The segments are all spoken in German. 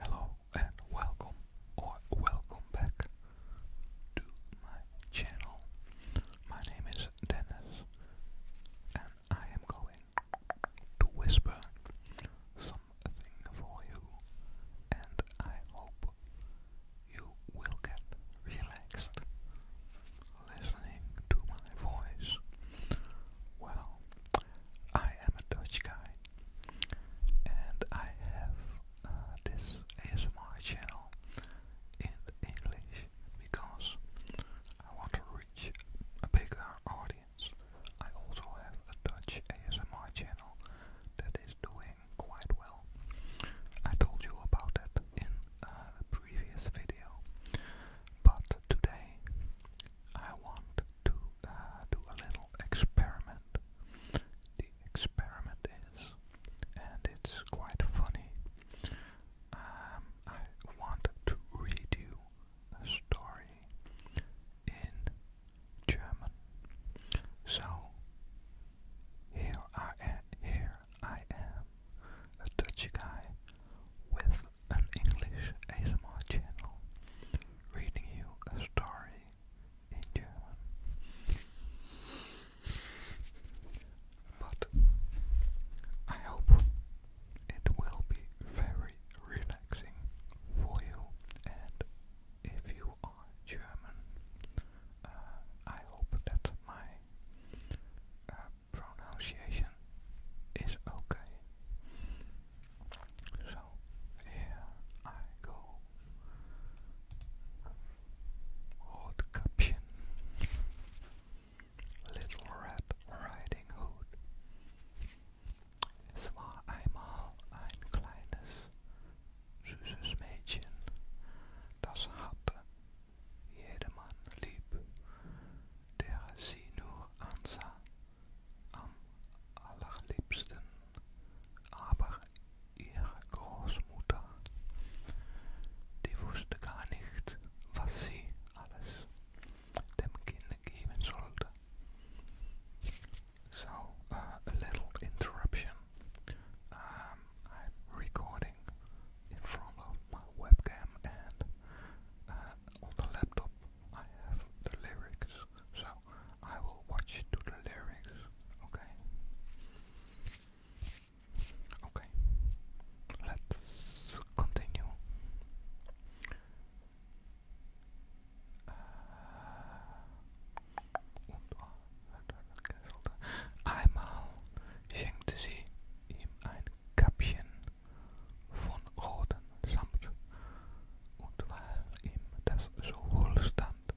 Hello and welcome or welcome back to my channel. My name is Dennis and I am going to whisper something for you and I hope you will get relaxed listening to my voice. Well, I am a Dutch guy and I have uh, this ASMR channel in English because I want to reach a bigger audience. I also have a Dutch ASMR channel that is doing quite well. I told you about it in a uh, previous video, but today I want to uh, do a little experiment. The experiment is, and it's quite funny. Um, I want to read you a story in German. So here I am, here I am, a Dutch guy with an English ASMR channel reading you a story in German. But I hope it will be very relaxing for you, and if you are German, uh, I hope that my uh, pronunciation is okay. So here I go. Old Caption, Little Red Riding Hood. Es war einmal kleines, süßes das hatte jedermann lieb, der sie nur am allerliebsten a little interruption. Um, I'm recording in front of my webcam and uh, on the laptop I have the lyrics, so I will watch to the lyrics, okay? Okay, let's continue. Uh, Einmal schenkte sie ihm ein Käppchen von samt. Und weil ihm das so wohl stand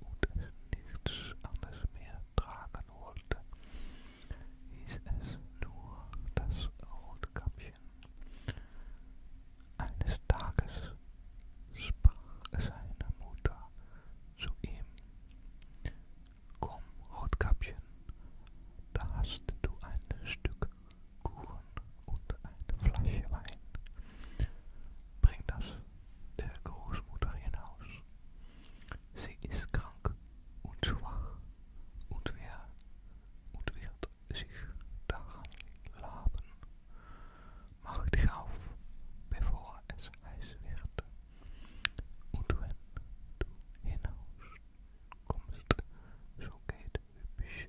und es nichts anderes mehr tragen wollte, hieß es nur, dass Rotkäppchen eines Tages sprach seine Mutter zu ihm, Komm, Rotkäppchen, da hast du ein Stück Kuchen und eine Flasche Wein. Bring das der Großmutter hinaus. Sie ist krank und schwach und, wer, und wird sich daran laben. Mach dich auf, bevor es heiß wird. Und wenn du hinaus kommst, so geht hübsch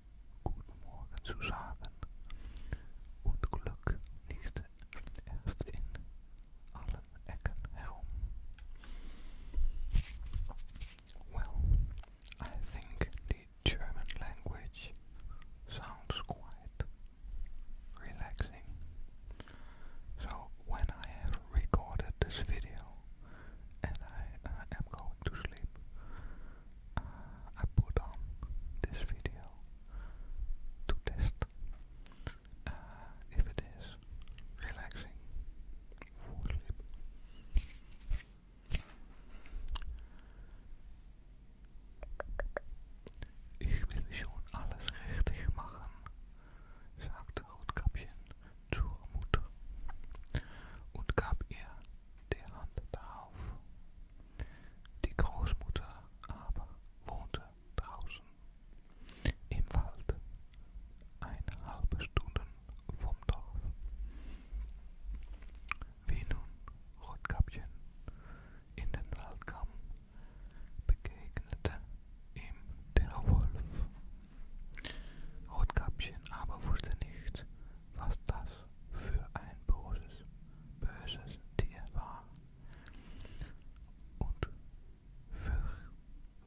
Guten Morgen zu sagen und Glück liegt erst in allen Ecken herum. Well, I think the German language sounds quite relaxing. So when I have recorded this video, and I uh, am going to sleep. Uh, I put on this video to test uh, if it is relaxing for sleep. Ich will schon alles richtig machen, sagte Rotkapchen zur Mutter und gab ihr die Hand darauf. Die Großmutter aber wohnte draußen im Wald, eine halbe Stunde vom Dorf. Wie nun Rotkäppchen in den Wald kam, begegnete ihm der Wolf Rotkäppchen aber wusste nicht, was das für ein böses, böses Tier war und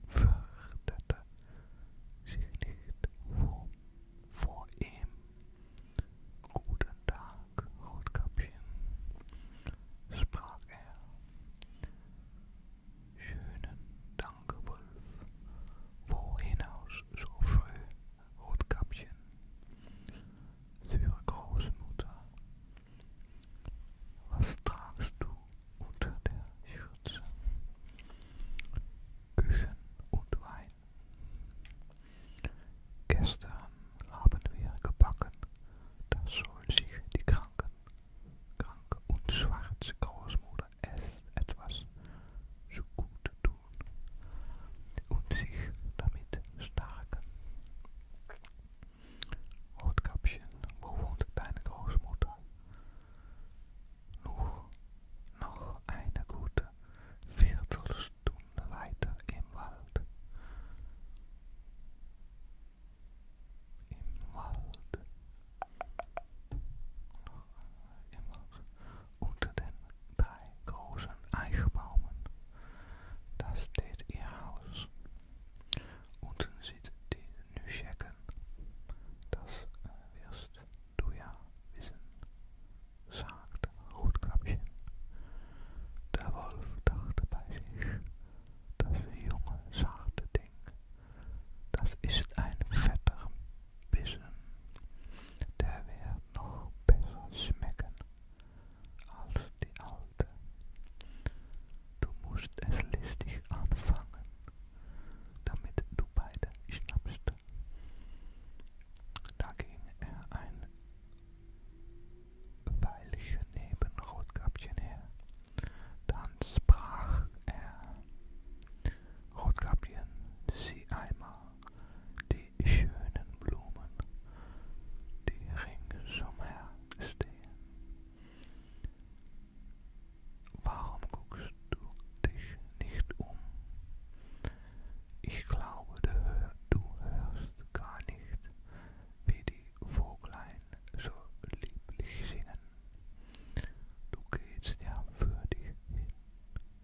fürchtete sich nicht vor, vor ihm. Guten Tag, Rotkäppchen, sprach er. Schönen Dank lange Wolf, wo hinaus so früh Rotkäppchen, für Großmutter, was tragst du unter der Schürze? Küchen und Wein. Gestern haben wir gebacken, das soll sich die Kranken, kranke und schwarze Großmutter es etwas zu gut tun und sich damit stärken. Rotkäppchen, wo wohnt deine Großmutter? Nur noch eine gute Viertelstunde weiter im Wald. Im Wald. Im Wald. unter den drei großen Eichbäumen. das steht ihr Haus. Unten sieht die Nüschecken. Das eh, wirst du ja wissen, sagt Rotkäppchen. Der Wolf dachte bei sich, das junge, zarte Ding, das ist ein vetter. bisschen. Der wird noch besser schmecken als die alte. Du musst es listig anfangen, damit du beide schnappst. Da ging er ein Weilchen neben Rotkäppchen her. Dann sprach er, Rotkäppchen, sieh einmal die schönen Blumen, die ringsumher stehen. Warum guckst du dich nicht um? Ich glaube, du hörst gar nicht, wie die Voglein so lieblich singen. Du gehst ja für dich hin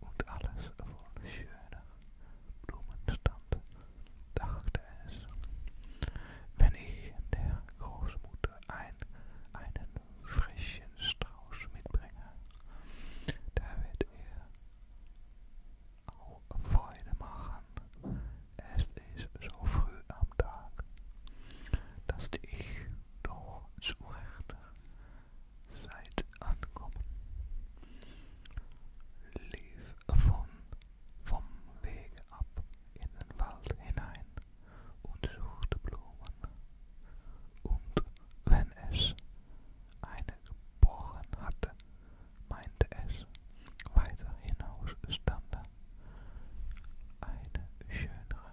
und alles voll schöner Blumenstand, dachte es. Wenn ich der Großmutter ein, einen frischen Strauß mitbringe, da wird er auch Freude machen. Es ist so früh am Tag, dass ich doch zu Recht Seit Ankommen lief von vom Weg ab in den Wald hinein und suchte Blumen. Und wenn es eine geboren hatte, meinte es, weiter hinaus stand eine schönere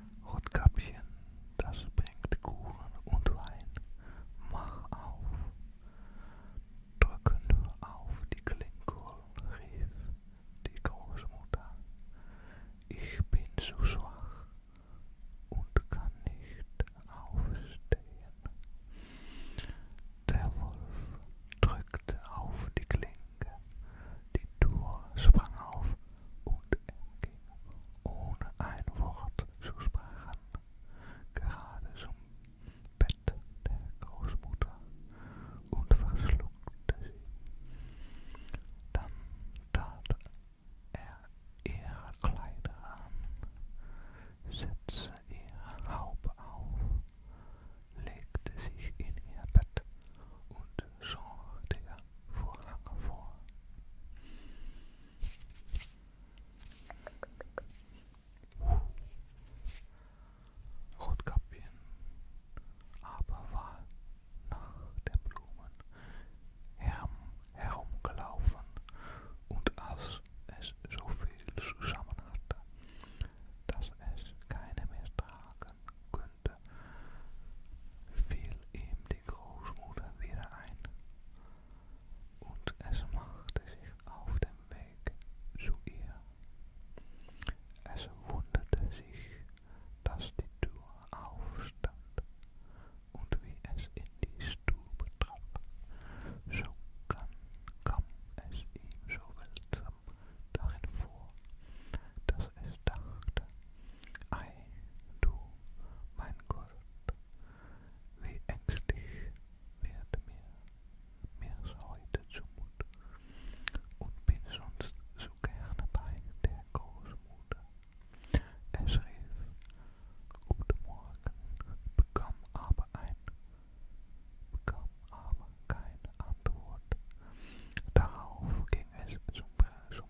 Rotkäppchen, das bringt Kuchen und Wein, mach auf. Drücke nur auf die Klinguhr, rief die Großmutter. Ich bin zu schwach und kann nicht aufstehen. Der Wolf drückte auf die Klinke, die Tür sprang auf und er ohne ein Wort zu sprechen, gerade zum Bett der Großmutter und verschluckte sie. Dann tat er ihre Kleider an, setzte ihre Haube auf, legte sich in ihr Bett und schor der Vorhang vor. Rotkappchen aber war nach den Blumen her herumgelaufen und als es so viel zusammen hatte, dass es keine mehr tragen könnte, fiel ihm die Großmutter wieder ein und es machte sich auf den Weg zu ihr. Es wunderte sich, dass die Tür aufstand und wie es in die Stube trat, so kann, kam es ihm so seltsam darin vor, dass es dachte, ei, du, mein Gott, wie ängstlich wird mir mir's heute zumut und bin sonst so gerne bei der Großmutter. Es rief, guten Morgen, bekam aber ein, bekam aber keine Antwort. Darauf ging es zum, zum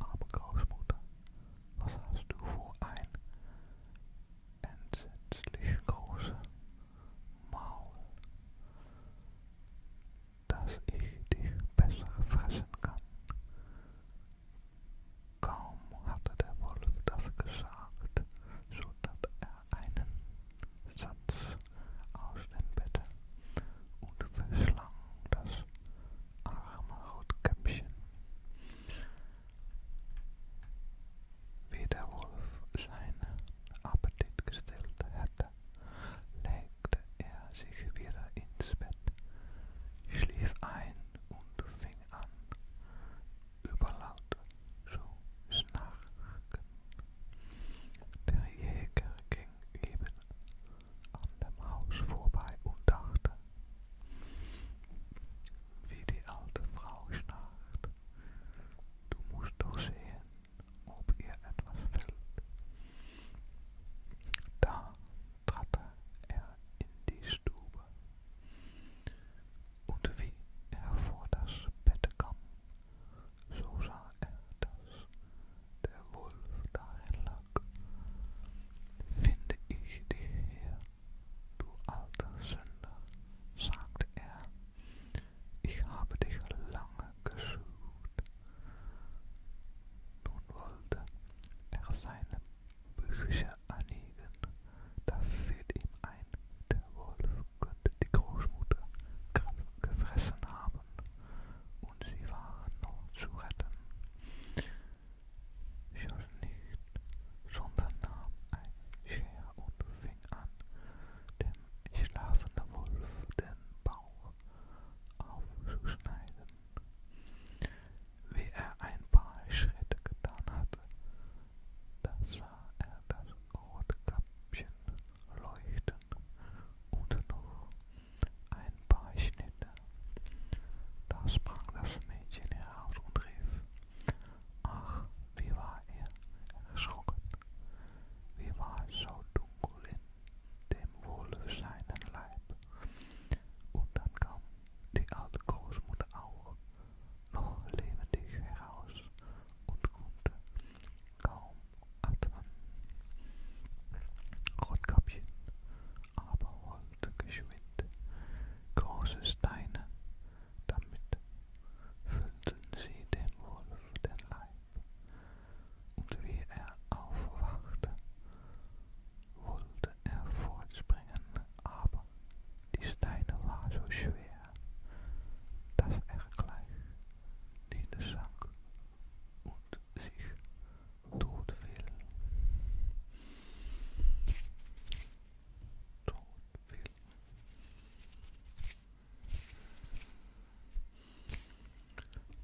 Arme Großmutter, was hast du für ein entsetzlich großes Maul, dass ich dich besser fressen kann? Kaum hatte der Wolf das gesagt, so tat er einen Satz aus dem Bett und verschlang das arme Rotkäppchen. Wie der Wolf seinen Appetit gestillt hatte, legte er sich wieder ins Bett, schlief ein und fing an, überlaut zu schnarchen. Der Jäger ging eben an dem Haus vorbei und dachte, wie die alte Frau schnarcht. Du musst doch sehen, ob ihr etwas fällt. Da trat er in die Stube. Und wie er vor das Bett kam, so sah er, dass der Wolf dahin lag, finde ich dich hier, du alter Sünder, sagte er, ich habe dich lange gesucht. Nun wollte er seine Bücher anlegen, da fiel ihm ein, der Wolf könnte die Großmutter gefressen haben und sie waren noch zu retten. Schoss nicht, sondern nahm ein Scher und fing an, dem schlafenden Wolf den Bauch aufzuschneiden. Wie er ein paar Schritte getan hatte, da sah er das rote Köpfchen leuchten und noch Ein paar Schnitte, da sprang das Mädchen heraus und rief, ach, wie war er erschrocken, wie war es so dunkel in dem wohlseinen Leib. Und dann kam die alte Großmutter auch noch lebendig heraus und konnte kaum Atmen. Rotkäppchen aber holte geschwind große Steine, damit füllten sie dem Wolf den Leib, und wie er aufwachte, wollte er fortspringen, aber die Steine waren so schwer, dass er gleich niedersank und sich tot will. Tot will.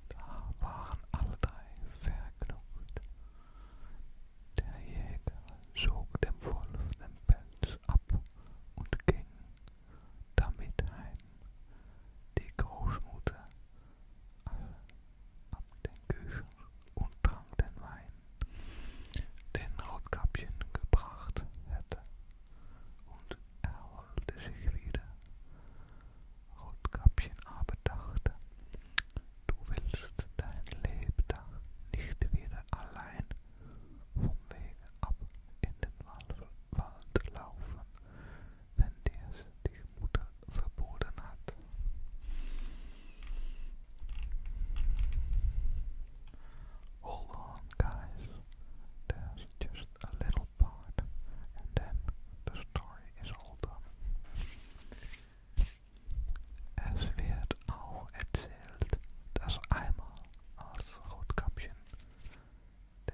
Da waren alle drei vergnügt. Der Jäger zog dem Wolf den Pelz ab und ging damit heim. Die Großmutter ab den Küchen und trank den Wein, den Rotkäppchen gebracht hätte, und erholte sich wieder. Rotkäppchen aber dachte, du willst dein Lebtag nicht wieder allein vom Wege ab in den Wald laufen, wenn dir es die Mutter verboten hat. Hold on, guys. There's just a little part, and then the story is all done. Es wird auch erzählt, dass einmal als Rotkäppchen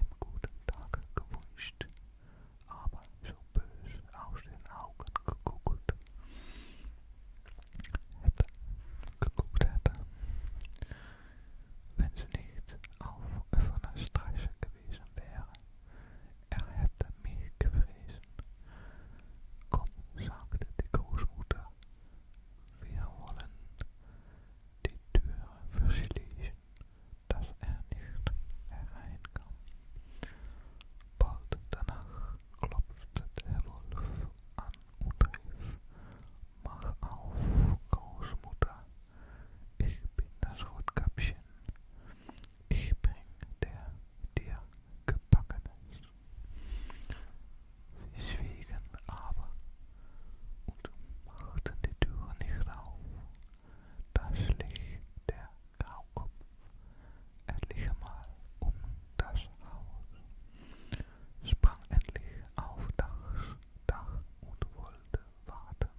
im guten Tag gewünscht, aber so böse aus den Augen geguckt hätte, geguckt hätte, wenn sie nicht auf offener Straße gewesen wäre. Er hätte mich gefressen. Komm, sagte die Großmutter, wir wollen die Tür verschließen. dass er nicht hereinkam. Bald danach klopfte der Wolf an und rief, Mach auf, Großmutter, ich bin das Rotkäppchen, ich bring der dir Gebackenes. Sie schwiegen aber und machten die Tür nicht auf. Da schlich der Graukopf endlich einmal um das Haus, sprang endlich auf das Dach und wollte warten,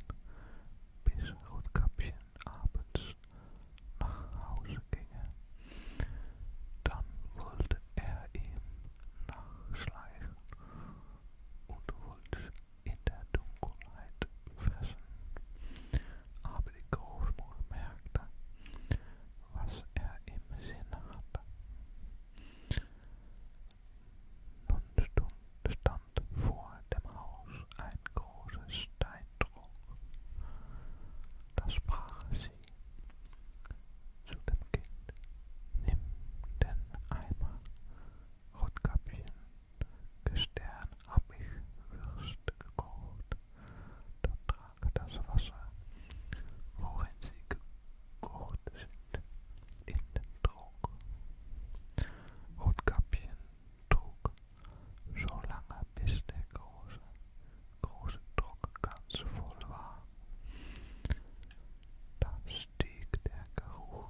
bis Rotkäppchen abends nach Hause ginge. Dann wollte er ihm nachschleichen und wollte in der Dunkelheit fressen. Aber die Großmutter merkte, was er im Sinne hatte. Nun stand vor dem Haus ein großes Steindruck. Das sprach sie zu dem Kind. Nimm den Eimer Rotkäppchen, gestern hab ich Würste gekocht, dann trank das Wasser, worin sie gekocht sind, in den Trog. Rotkäppchen trug so lange, bis der große, große Trog ganz voll war. Dann stieg der Geruch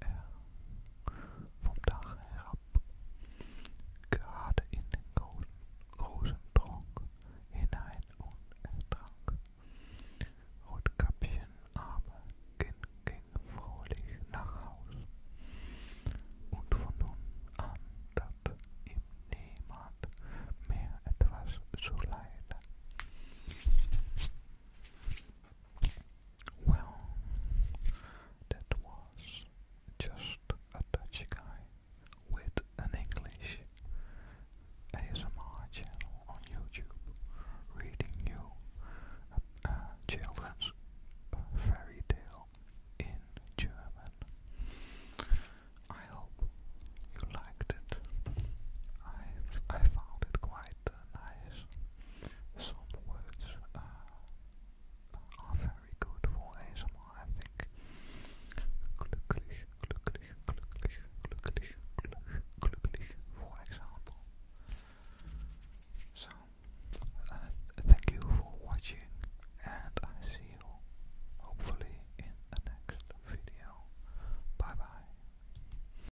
er vom Dach herab, gerade in den großen, großen Trunk hinein und ertrank. Rotkäppchen aber ging, ging fröhlich nach Haus, und von nun an tat ihm niemand mehr etwas zu leide. Well, that was just a Dutch guy with an English ASMR channel on YouTube reading you a, children's fairy tale in German. I hope you liked it. i I found it quite some words uh, are very good for ASMR, I think. Glücklich, glücklich, glücklich, glücklich, glücklich, for example. So, uh, thank you for watching, and I see you hopefully in the next video. Bye bye.